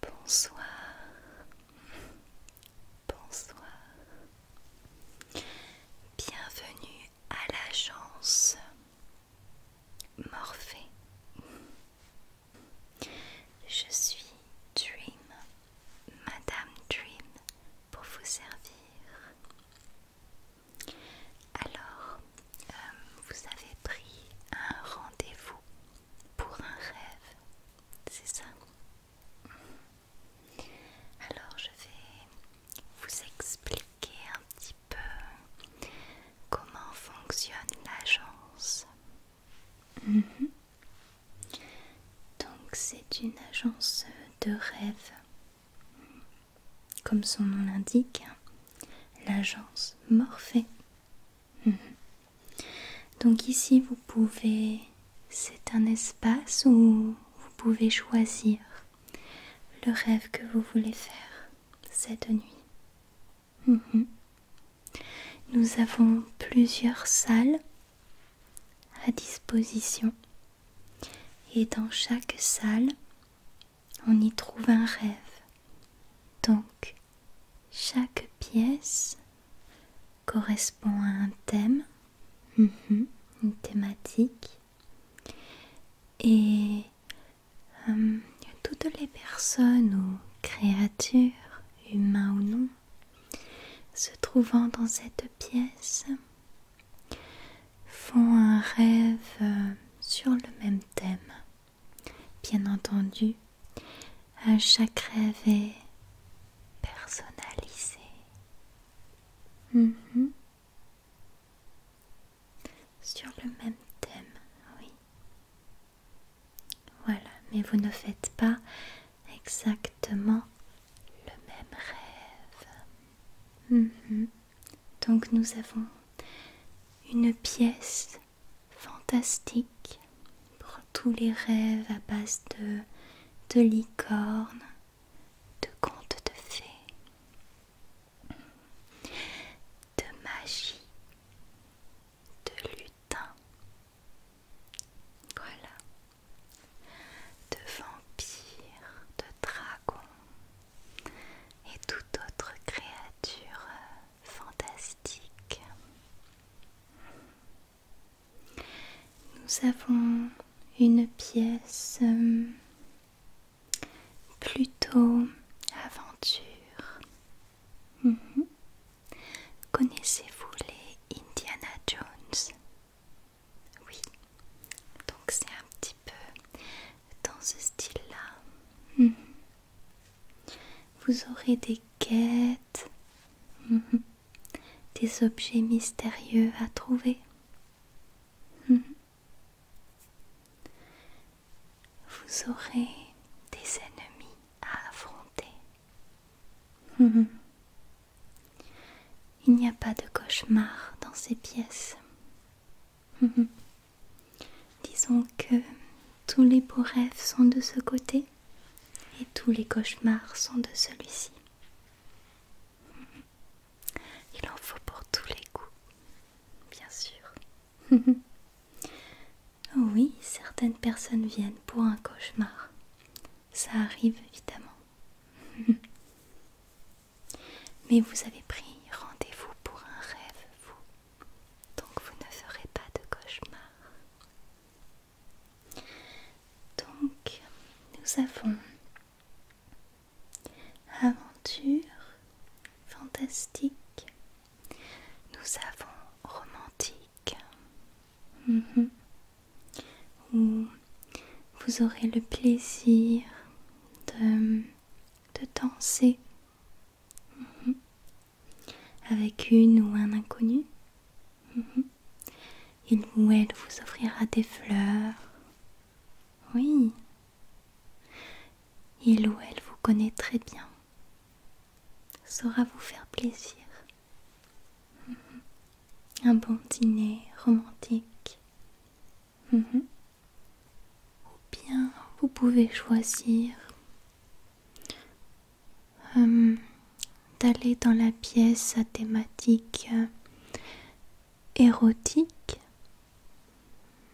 Bonsoir, bonsoir, bienvenue à l'agence Morphée. Je suis Dream Madame Dream pour vous servir. Alors, euh, vous avez pris un rendez-vous pour un rêve, c'est ça Alors, je vais vous expliquer un petit peu comment fonctionne l'agence. Mhm. Donc c'est une agence de rêve. Comme son nom l'indique, l'agence Morphée. Mhm. Donc ici vous pouvez... C'est un espace où vous pouvez choisir le rêve que vous voulez faire cette nuit. Mhm. Nous avons plusieurs salles à disposition et dans chaque salle on y trouve un rêve. Donc chaque pièce correspond à un thème, mhm, une thématique et euh, toutes les personnes ou créatures, humains ou non, se trouvant dans cette pièce font un rêve euh, sur le même thème. Bien entendu, à chaque rêve est personnalisé. Mhm. Sur le même thème, oui. Voilà, mais vous ne faites pas exactement le même rêve. Mhm. Donc nous avons une pièce fantastique pour tous les rêves à base de, de licornes, de contes de fées, de magie, de lutins. Voilà de vampires, de dragons et toute autre créature fantastique. Nous avons une pièce euh, plutôt aventure. Mhm. Connaissez-vous les Indiana Jones Oui, donc c'est un petit peu dans ce style-là. Mhm. Vous aurez des quêtes, mhm. des objets mystérieux à trouver. Mhm. Vous aurez des ennemis à affronter. Il n'y a pas de cauchemar dans ces pièces. Disons que tous les beaux rêves sont de ce côté et tous les cauchemars sont de celui-ci. Il en faut pour tous les goûts, bien sûr. oui, certaines personnes viennent pour un cauchemar ça arrive évidemment. Mais vous avez pris rendez-vous pour un rêve, vous. Donc vous ne ferez pas de cauchemar. Donc nous avons aventure fantastique. Nous avons romantique. Mhm où vous aurez le plaisir de, danser mhm. avec une ou un inconnu. Mhm. Il ou elle vous offrira des fleurs. Oui. Il ou elle vous connaît très bien. Saura vous faire plaisir. Un bon dîner romantique. Mhm. Ou bien vous pouvez choisir euh, d'aller dans la pièce à thématique euh, érotique.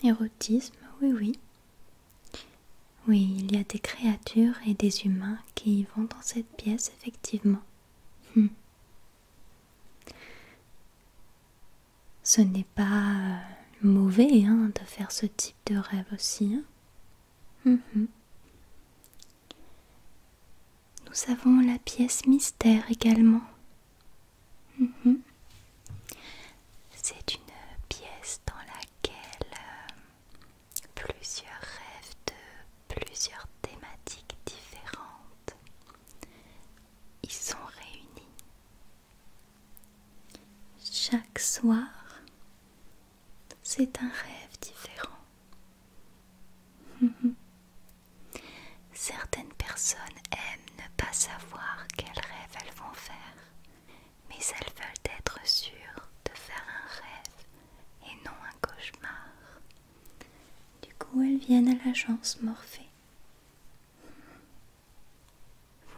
Érotisme, oui, oui. Oui, il y a des créatures et des humains qui vont dans cette pièce effectivement. Hmm. Ce n'est pas euh, mauvais hein, de faire ce type de rêve aussi. Hein. Hmm, hmm. Nous avons la pièce mystère également. C'est une pièce dans laquelle euh, plusieurs rêves de plusieurs thématiques différentes y sont réunis. Chaque soir, c'est un rêve différent. Certaines personnes aiment ne pas savoir quel rêve elles vont faire, mais elles veulent être sûres de faire un rêve et non un cauchemar. Du coup, elles viennent à l'agence Morphée.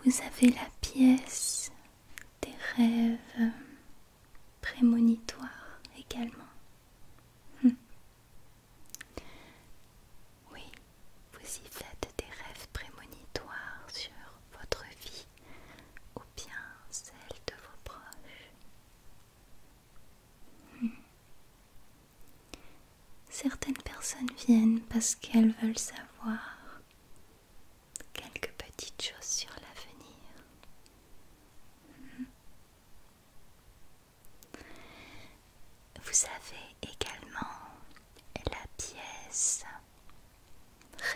Vous avez la pièce des rêves prémonitoires également. Hum. Oui, vous y faites des rêves prémonitoires sur votre vie bien celle de vos proches. Hmm. Certaines personnes viennent parce qu'elles veulent savoir quelques petites choses sur l'avenir. Hmm. Vous avez également la pièce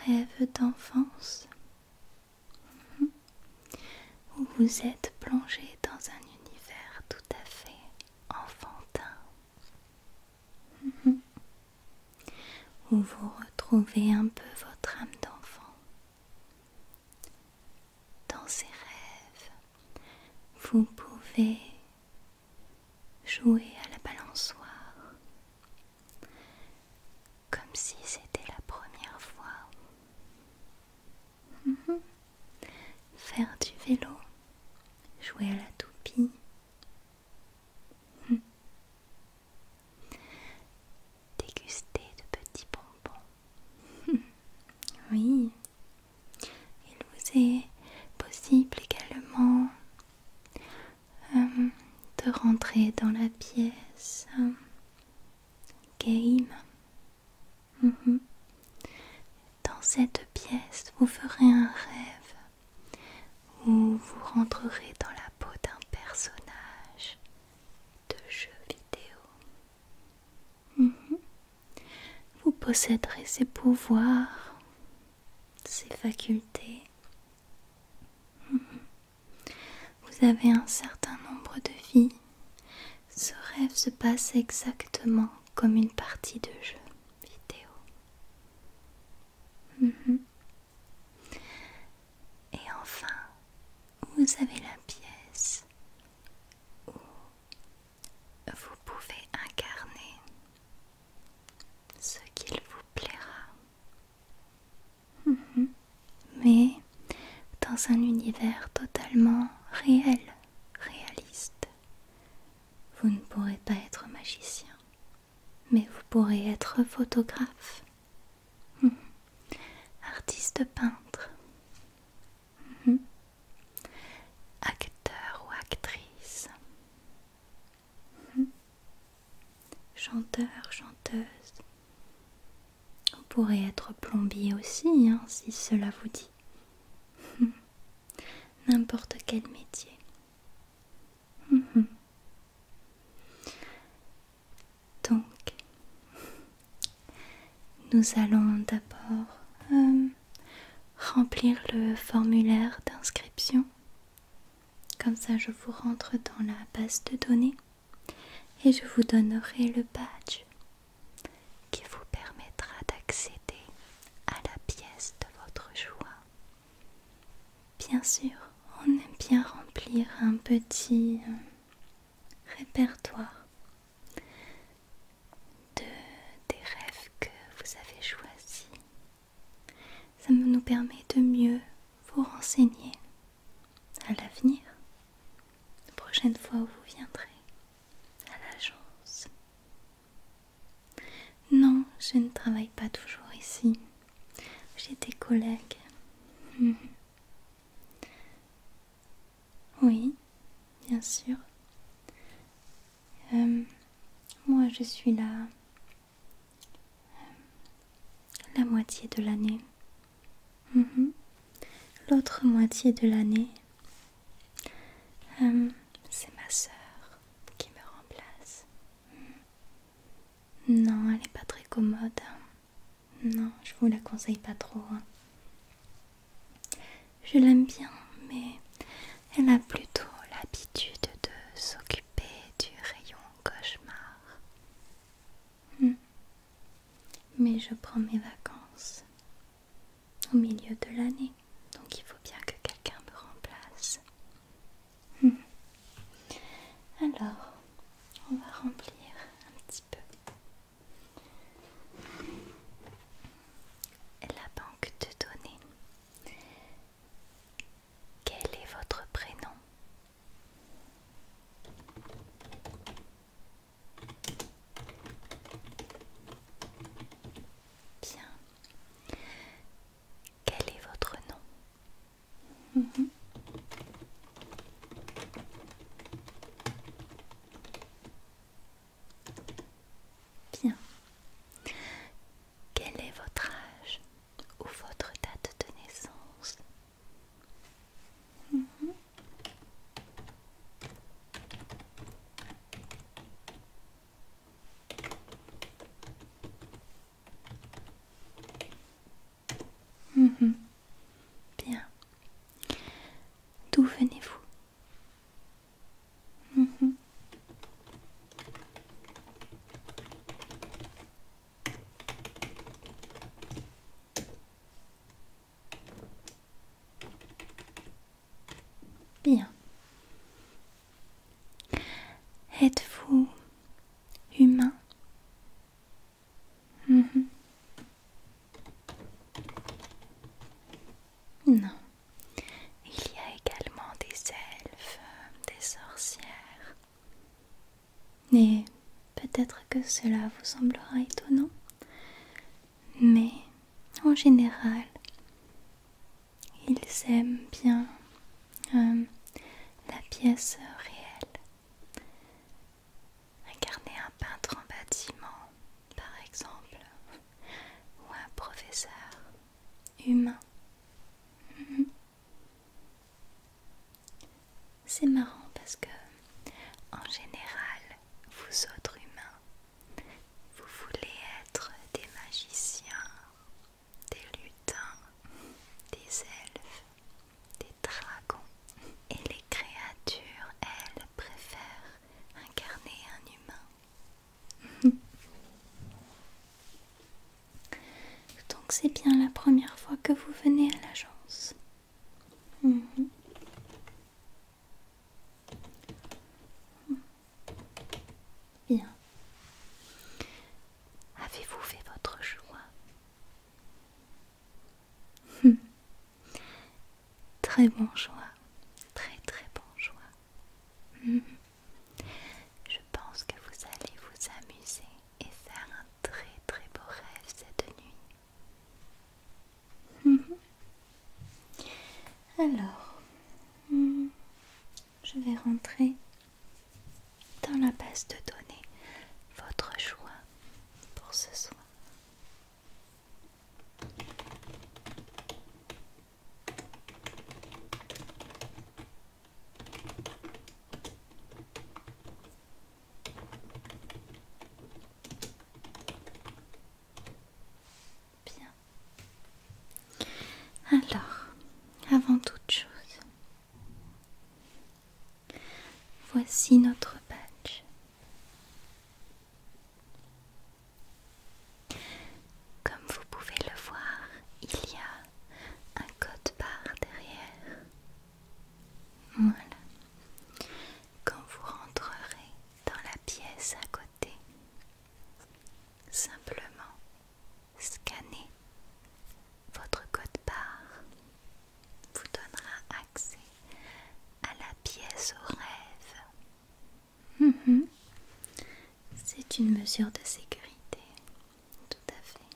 Rêve d'enfance où vous êtes plongé dans un univers tout à fait enfantin, où vous retrouvez un peu votre âme d'enfant. Dans ces rêves, vous pouvez jouer à la balançoire, comme si c'était la première fois. Mhm. Faire du vélo, jouer à la toupie. Mhm. Déguster de petits bonbons. oui. Il vous est possible également euh, de rentrer dans la pièce euh, Game. Mhm. Dans cette pièce, vous ferez un rêve où vous rentrerez dans la peau d'un personnage de jeu vidéo. Mhm. Vous posséderez ses pouvoirs, ses facultés. Mhm. Vous avez un certain nombre de vies. Ce rêve se passe exactement comme une partie de jeu vidéo. Mhm. Et enfin, vous avez la pièce où vous pouvez incarner ce qu'il vous plaira. Mhm. mais dans un univers totalement réel, réaliste. Vous ne pourrez pas être magicien, mais vous pourrez être photographe, mhm. artiste peintre, mhm. acteur ou actrice chanteur, chanteuse. On pourrait être plombier aussi, hein, si cela vous dit. N'importe quel métier. Donc, nous allons d'abord euh, remplir le formulaire d'inscription. Comme ça, je vous rentre dans la base de données et je vous donnerai le badge qui vous permettra d'accéder à la pièce de votre choix. Bien sûr, on aime bien remplir un petit euh, répertoire des rêves que vous avez choisis. Ça nous permet de mieux vous renseigner à l'avenir, la prochaine fois où vous viendrez à l'agence. Non, je ne travaille pas toujours ici. J'ai des collègues. Mhm. Oui, bien sûr. Euh, moi, je suis là euh, la moitié de l'année. Mhm. L'autre moitié de l'année, hum, c'est ma sœur qui me remplace. Hum. Non, elle n'est pas très commode. Hein. Non, je vous la conseille pas trop. Hein. Je l'aime bien, mais elle a plutôt l'habitude de s'occuper du rayon cauchemar. Hmm. Mais je prends mes vacances au milieu de l'année, donc il faut bien que quelqu'un me remplace. Hmm. Alors, on va remplir un petit peu. La banque de données. Quel est votre prénom Bien. Quel est votre nom mhm. Bien. Quel est votre âge ou votre date de naissance Mmh. Mmh. Bien. D'où venez-vous mmh. Bien. Êtes-vous humain mhm. Non. Il y a également des elfes, euh, des sorcières, et peut-être que cela vous semblera étonnant, mais en général, ils aiment bien euh, la pièce réelle. Incarner un peintre en bâtiment, par exemple, ou un professeur humain. Mhm. C'est marrant parce que en général, vous autres humains, vous voulez être des magiciens, des lutins, des elfes, des dragons. Et les créatures, elles, préfèrent incarner un humain. Donc c'est bien la première fois que vous venez à l'agence. Mhm. Mhm. Bien. Avez-vous fait votre choix hmm. Très bon choix. Très très bon choix. Mhm. Je pense que vous allez vous amuser et faire un très très beau rêve cette nuit. Mhm. Alors, hmm, je vais rentrer dans la base de données votre choix pour ce soir. Bien. Alors, avant toute chose, voici notre badge. Comme vous pouvez le voir, il y a un code barre derrière voilà. Quand vous rentrerez dans la pièce à côté, simplement scanner votre code barre vous donnera accès à la pièce au rêve. Mhm. C'est une mesure de sécurité, tout à fait.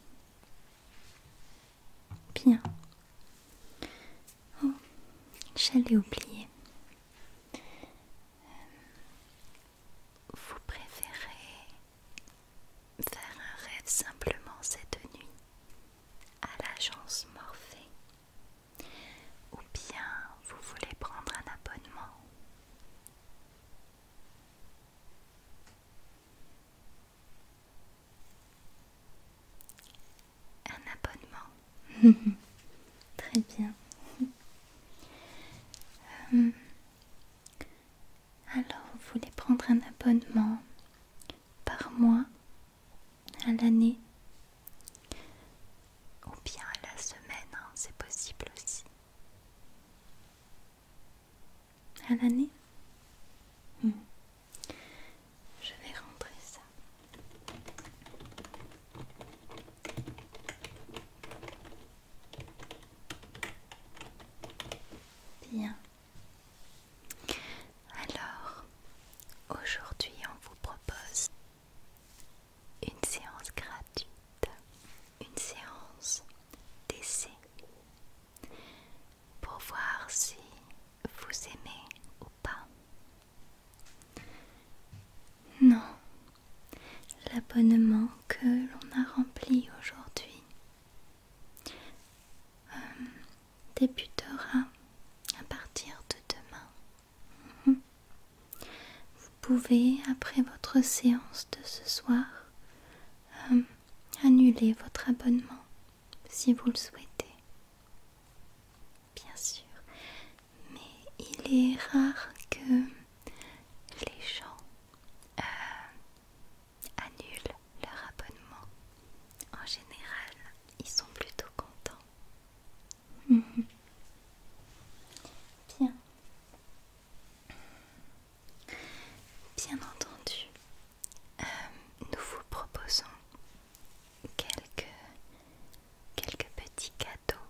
Bien. Oh, j'allais oublier. Euh, vous préférez faire un rêve simplement cette nuit à l'agence Morphée ou bien vous voulez prendre un abonnement un abonnement. Très bien. Euh, alors, vous voulez prendre un abonnement par mois à l'année ou bien à la semaine, hein, c'est possible aussi à l'année hmm. Je vais rentrer ça. Bien. Alors, aujourd'hui on vous propose une séance gratuite, une séance d'essai pour voir si vous aimez ou pas. Non, l'abonnement que l'on a rempli aujourd'hui euh, débutera à partir de demain. Mhm. Vous pouvez, après votre séance de ce soir, euh, annuler votre abonnement si vous le souhaitez. Bien sûr, mais il est rare que les gens euh, annulent leur abonnement. En général, ils sont plutôt contents. Bien. Bien entendu, euh, nous vous proposons quelques, petits cadeaux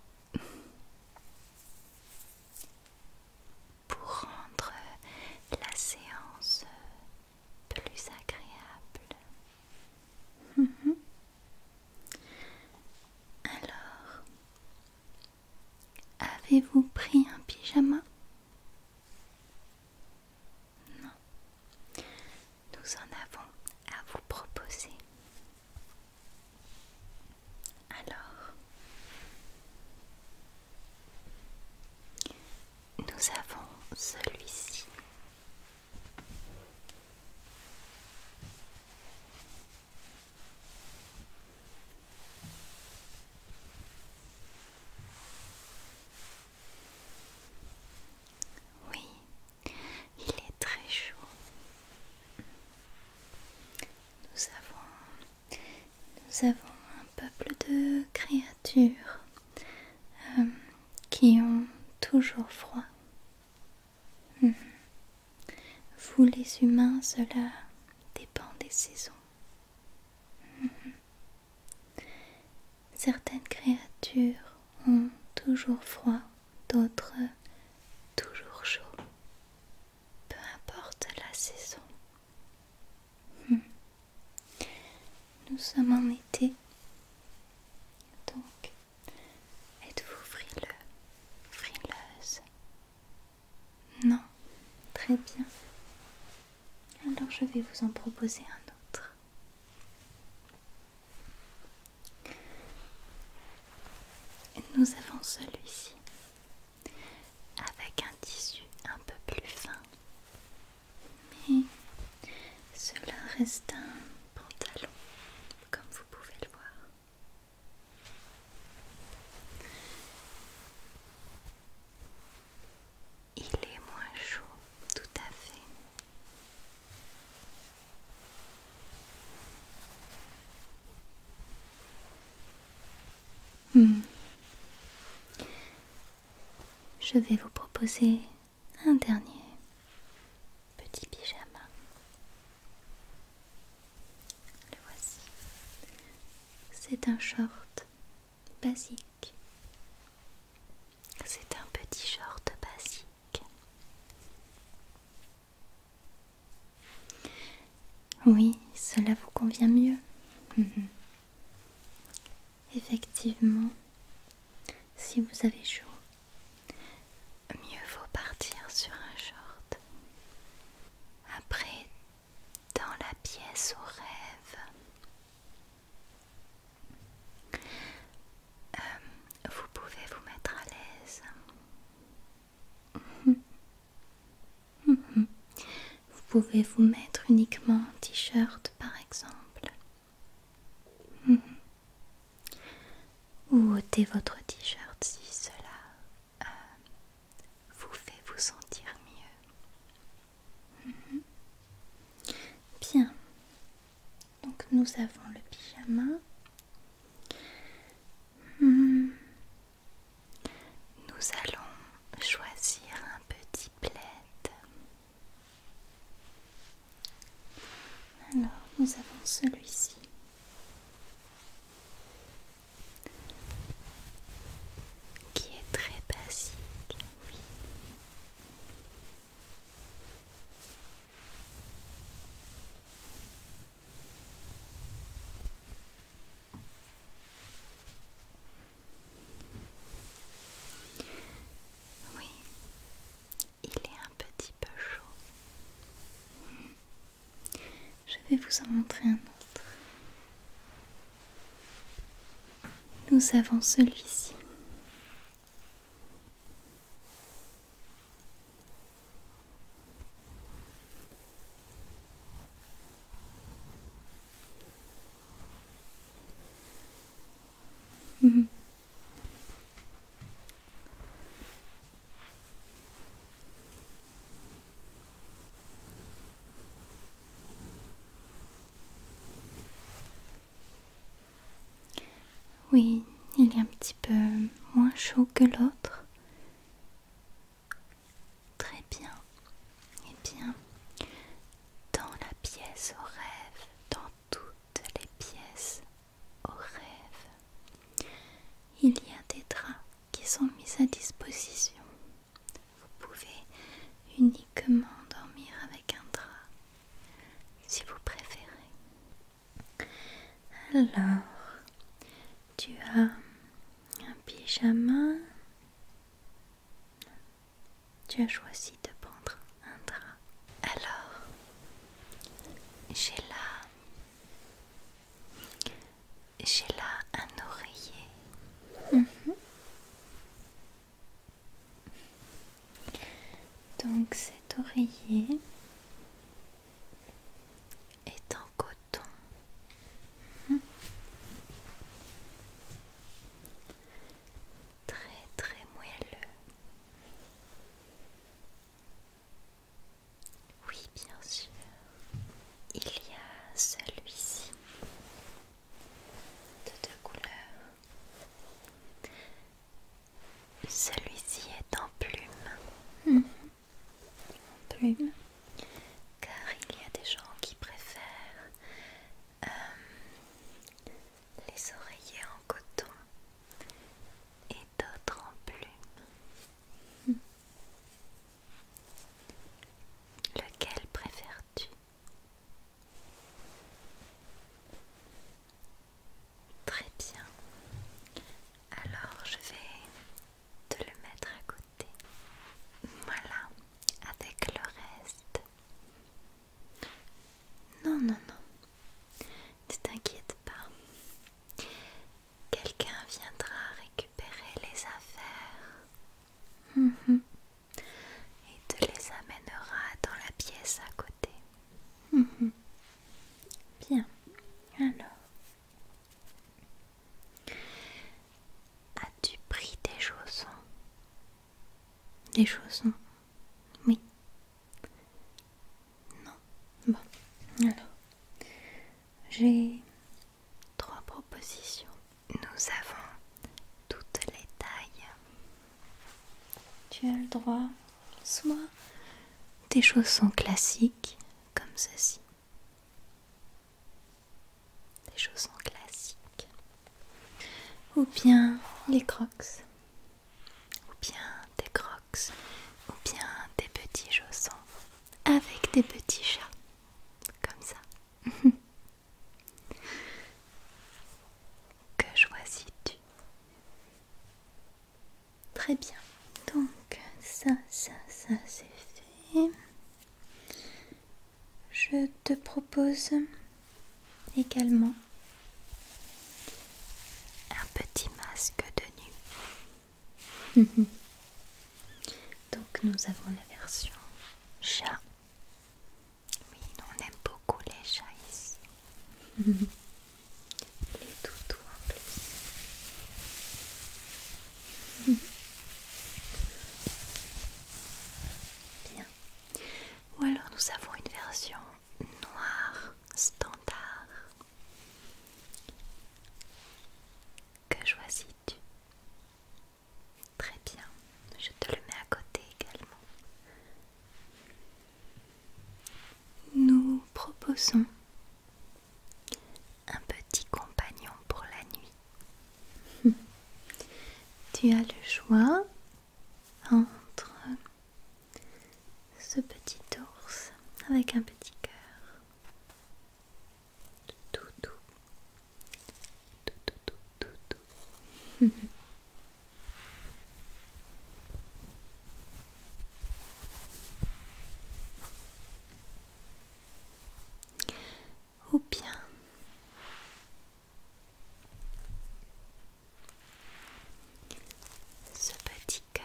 pour rendre la séance plus agréable. Mhm. Alors, avez-vous pris un pyjama non. Nous en avons à vous proposer. Alors, nous avons celui-ci. Oui, il est très chaud. Nous avons, nous avons un peuple de créatures euh, qui ont toujours froid. Mhm. Vous les humains, cela dépend des saisons. Mhm. Certaines créatures ont toujours froid, d'autres toujours chaud. Peu importe la saison. Hmm. Nous sommes en été. Donc, êtes-vous frileux, frileuse Non, très bien. Alors je vais vous en proposer un autre. Nous avons celui-ci avec un tissu un peu plus fin. Mais cela reste un pantalon, comme vous pouvez le voir. Il est moins chaud, tout à fait. Hmm. Je vais vous proposer un dernier petit pyjama. Le voici. C'est un short basique. C'est un petit short basique. Oui, cela vous convient mieux. Effectivement, si vous avez chaud, mieux vaut partir sur un short. Après dans la pièce aux rêves. Euh, vous pouvez vous mettre à l'aise. Vous pouvez vous mettre uniquement en t-shirt par exemple. Ou ôter votre t-shirt si cela euh, vous fait vous sentir mieux. Mhm. Bien. Donc nous avons le pyjama. Hmm. Nous allons choisir un petit plaid. Alors, nous avons celui-ci qui est très basique, oui. Oui, il est un petit peu chaud. Je vais vous en montrer un autre. Nous avons celui-ci. Mhm. Oui, il est un petit peu moins chaud que l'autre. Très bien. Eh bien, dans la pièce au rêve, dans toutes les pièces au rêve, il y a des draps qui sont mis à disposition vous pouvez uniquement dormir avec un drap si vous préférez. Alors, tu as un pyjama. Tu as choisi de prendre un drap. Alors, j'ai là, j'ai là un oreiller. Mhm. Donc cet oreiller est en coton. Très très moelleux. Oui, bien sûr. Il y a celui-ci de deux couleurs. Celui-ci est mhm. en plume. Car il y a des gens qui préfèrent euh, les oreillers en coton et d'autres en plume. Mhm. Lequel préfères-tu Très bien. Alors je vais te le mettre à côté. Voilà, avec le reste. Non, non, non. Ne t'inquiète pas. Quelqu'un viendra récupérer les affaires. Mhm et te les amènera dans la pièce à côté. Mhm. Bien, alors, as-tu pris tes chaussons Des chaussons Oui. Non. Bon, alors, j'ai trois propositions. Nous avons toutes les tailles. Tu as le droit soit des chaussons classiques comme ceci. Des chaussons classiques. Ou bien les crocs. Ou bien des crocs. Ou bien des petits chaussons avec des petits chats. Comme ça. Que choisis-tu Très bien. Donc ça, ça, ça, c'est fait. Je te propose également un petit masque de nuit. Donc nous avons la version chat oui, on aime beaucoup les chats les toutous en plus. Bien. Ou alors nous avons une version noire standard. Que choisis-tu Très bien, je te le mets à côté également. Nous proposons un petit compagnon pour la nuit. tu as le choix entre ce petit ours avec un petit cœur ou bien ce petit cœur.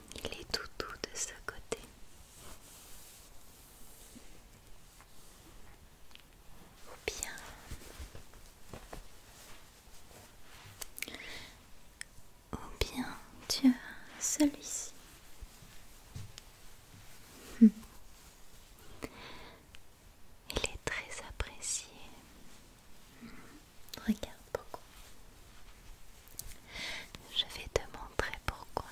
Il est tout doux de ce côté. Ou bien ou bien tu as celui-ci. Hmm. Il est très apprécié. Hmm. Regarde pourquoi. Je vais te montrer pourquoi.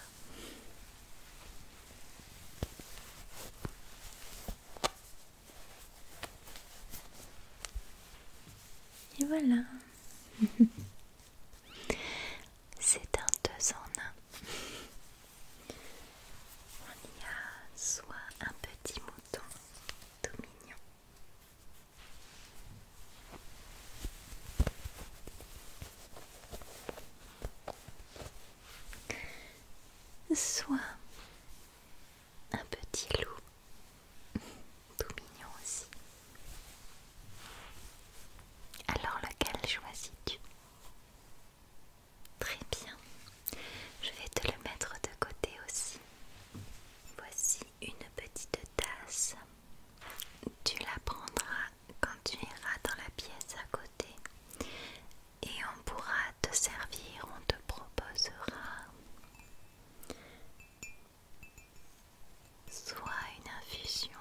Et voilà. C'est un deux en un. On y a soit un petit mouton tout mignon, Soit un petit loup, tout mignon aussi. Alors lequel choisis-tu Très bien, je vais te le mettre de côté aussi. Voici une petite tasse tu la prendras quand tu iras dans la pièce à côté et on pourra te servir, on te proposera soit une infusion,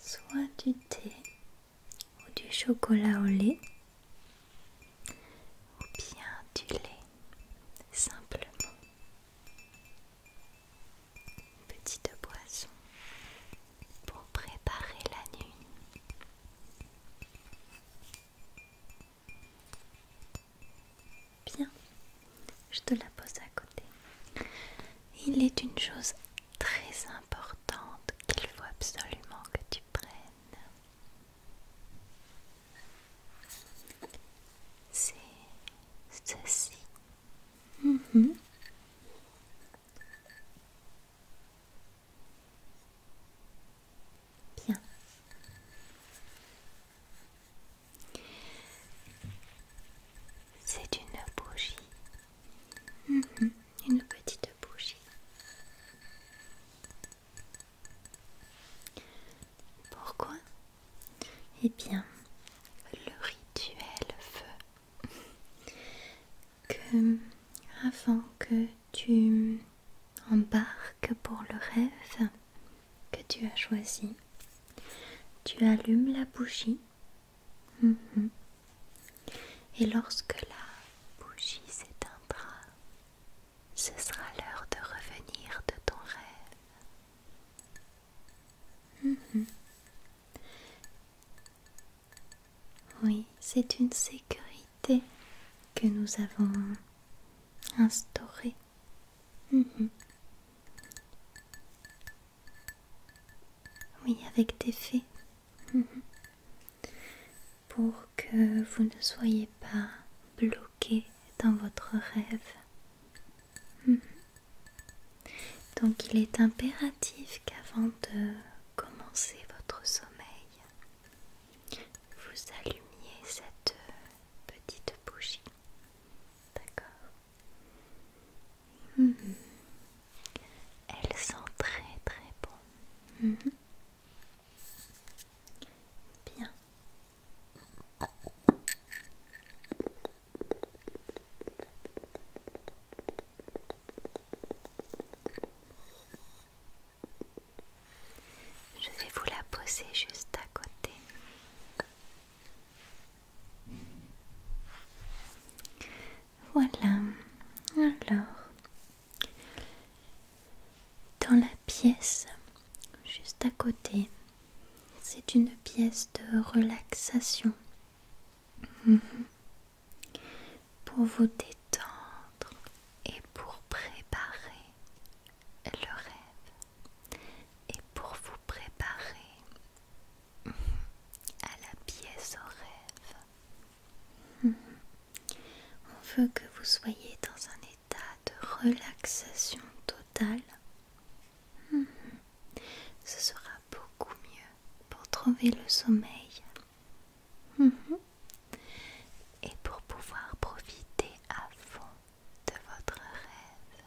soit du thé ou du chocolat au lait ou bien du lait simplement. Petite boisson pour préparer la nuit. Bien, je te la pose à côté. Il est une chose très importante qu'il faut absolument que tu prennes. C'est ceci. Mm-hmm. Bien. C'est une bougie. Mm-hmm. Une petite bougie. Pourquoi Eh bien, le rituel veut que avant que tu embarques pour le rêve que tu as choisi, tu allumes la bougie. Mhm. Et lorsque la bougie s'éteindra, ce sera l'heure de revenir de ton rêve. Mhm. Oui, c'est une sécurité que nous avons instaurée. Mhm. Oui, avec des faits. Mhm. Pour que vous ne soyez pas bloqué dans votre rêve. Mhm. Donc il est impératif qu'avant de commencer votre sommeil, vous allumiez cette petite bougie. D'accord mhm. Elle sent très très bon. Mhm. Bien. Je vais vous la poser juste à côté. Voilà. Alors, dans la pièce, juste à côté, c'est une pièce de relaxation mhm. pour vous détendre et pour préparer le rêve et pour vous préparer mhm, à la pièce au rêve. Mhm. On veut que vous soyez dans un de relaxation totale, mhm. ce sera beaucoup mieux pour trouver le sommeil mhm. et pour pouvoir profiter à fond de votre rêve.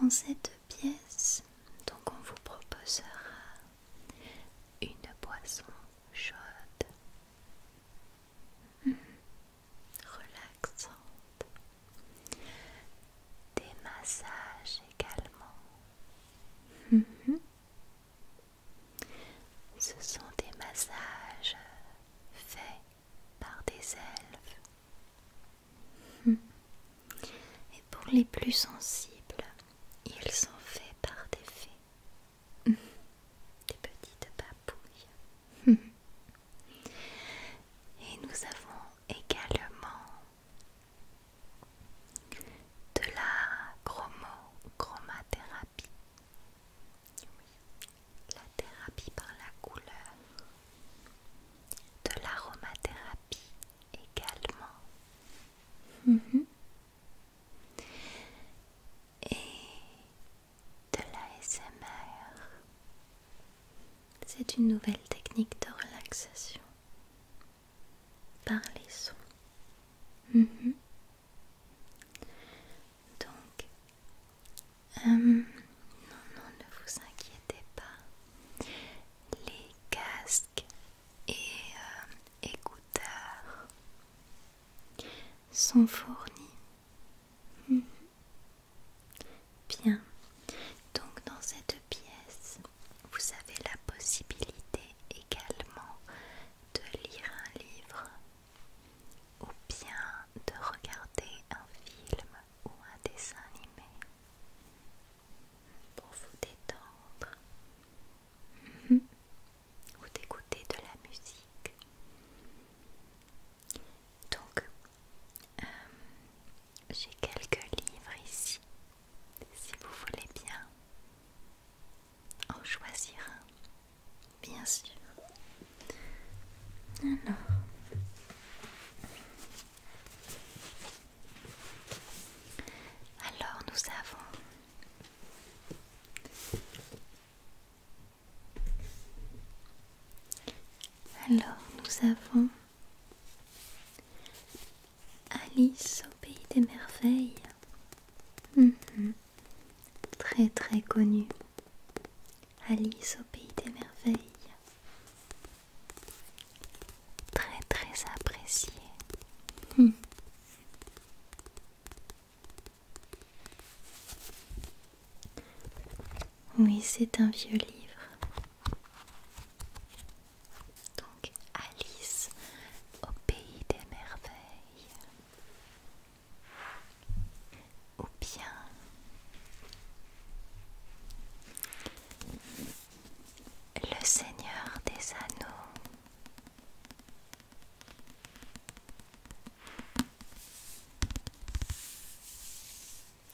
Dans cette pièce, donc on vous proposera une boisson chaude relaxante, des massages également. Mhm. Ce sont des massages faits par des elfes. Mhm. Et pour les plus sensibles, ils sont faits par des fées. Des petites papouilles. Et nous avons également de la chromo, chromathérapie. La thérapie par la couleur. De l'aromathérapie également. Mm-hmm et de l'ASMR. C'est une nouvelle technique de relaxation par les sons. Mhm. Donc, euh, non, non, ne vous inquiétez pas. Les casques et euh, écouteurs sont fournis. Hmm. Bien. Donc dans cette pièce, vous avez la possibilité également de lire un livre ou bien de regarder un film ou un dessin animé pour vous détendre Mhm. ou d'écouter de la musique. Donc, euh, j'ai quelques livres ici, si vous voulez bien en choisir un, bien sûr. Alors, alors nous avons alors, nous avons Alice au pays des merveilles. Mhm. Très très connue. Alice au pays des merveilles. Très très appréciée. Oui, c'est un vieux livre. Donc Alice au pays des merveilles. Ou bien Le Seigneur des Anneaux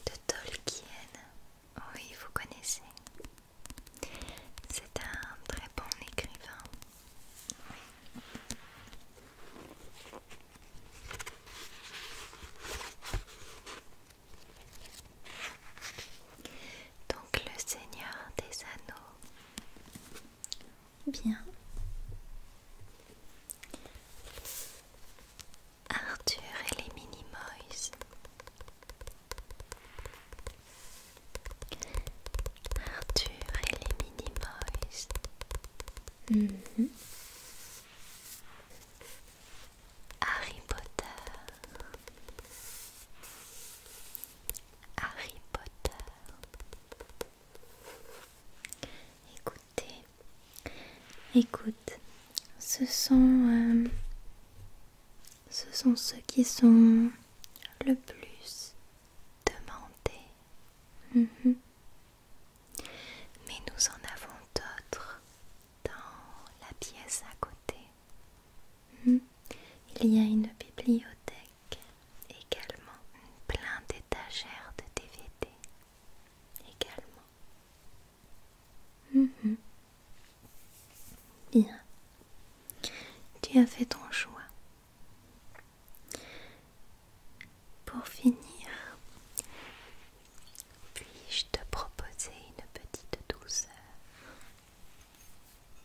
de Tolkien. Oui, vous connaissez. C'est un très bon écrivain. Donc le Seigneur des Anneaux. Bien. Arthur et les Minimoys. Arthur et les Minimoys. Mhm. Harry Potter. Harry Potter. Écoutez, écoute, ce sont, euh, ce sont ceux qui sont le plus demandés. Mhm. Mais nous en avons d'autres dans la pièce à côté. Mhm. Il y a une bibliothèque également plein d'étagères de DVD également. Mhm. Bien, tu as fait ton choix. Pour finir, puis-je te proposer une petite douceur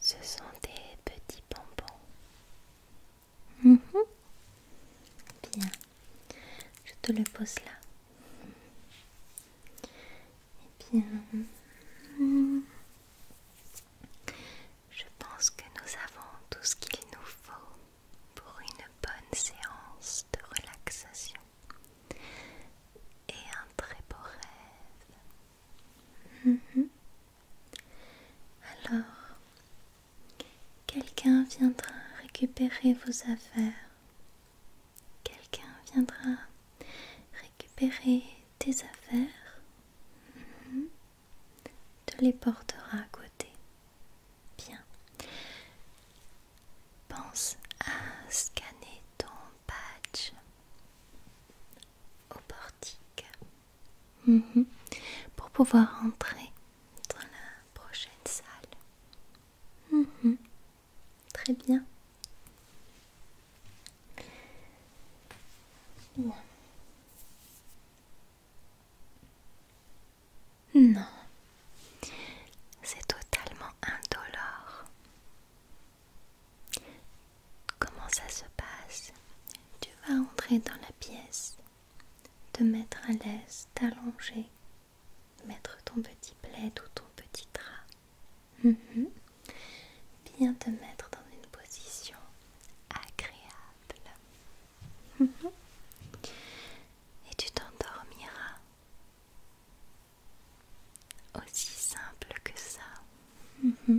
Ce sont des petits bonbons. Mhm. Bien. Je te le pose là. Et eh bien. Je pense que nous avons tout ce qu'il nous faut pour une bonne séance de relaxation et un très beau rêve. Mhm. Alors, quelqu'un viendra récupérer vos affaires. Quelqu'un viendra récupérer tes affaires. Mhm. Tu les porteras à côté. Bien. Pense à scanner ton patch au portique mhm. pour pouvoir entrer dans la prochaine salle. Mhm. Très bien. Non, c'est totalement indolore. Comment ça se passe Tu vas entrer dans la pièce, te mettre à l'aise, t'allonger, mettre ton petit plaid ou ton petit drap. Bien mhm. te mettre dans une position agréable. Mhm. Et tu t'endormiras. Aussi simple que ça. Mhm.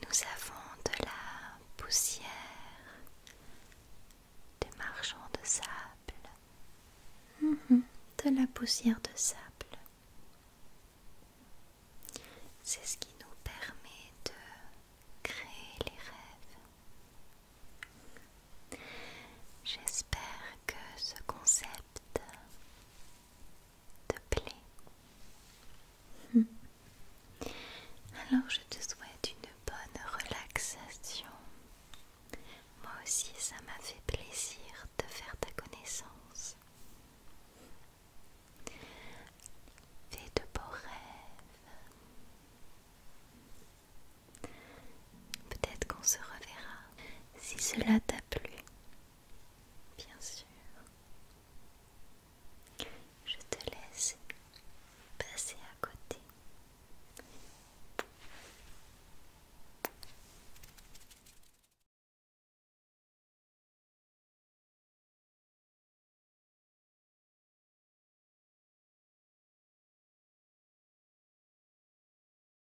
nous avons de la poussière, des marchands de sable. Mhm. De la poussière de sable. C'est ce qui nous permet de créer les rêves. J'espère que ce concept te plaît hmm. Alors je te souhaite une bonne relaxation. Moi aussi ça m'a fait plaisir de faire ta connaissance. Fais de beaux rêves. Peut-être qu'on se reverra. Si cela t'a Bien sûr. Je te laisse passer à côté.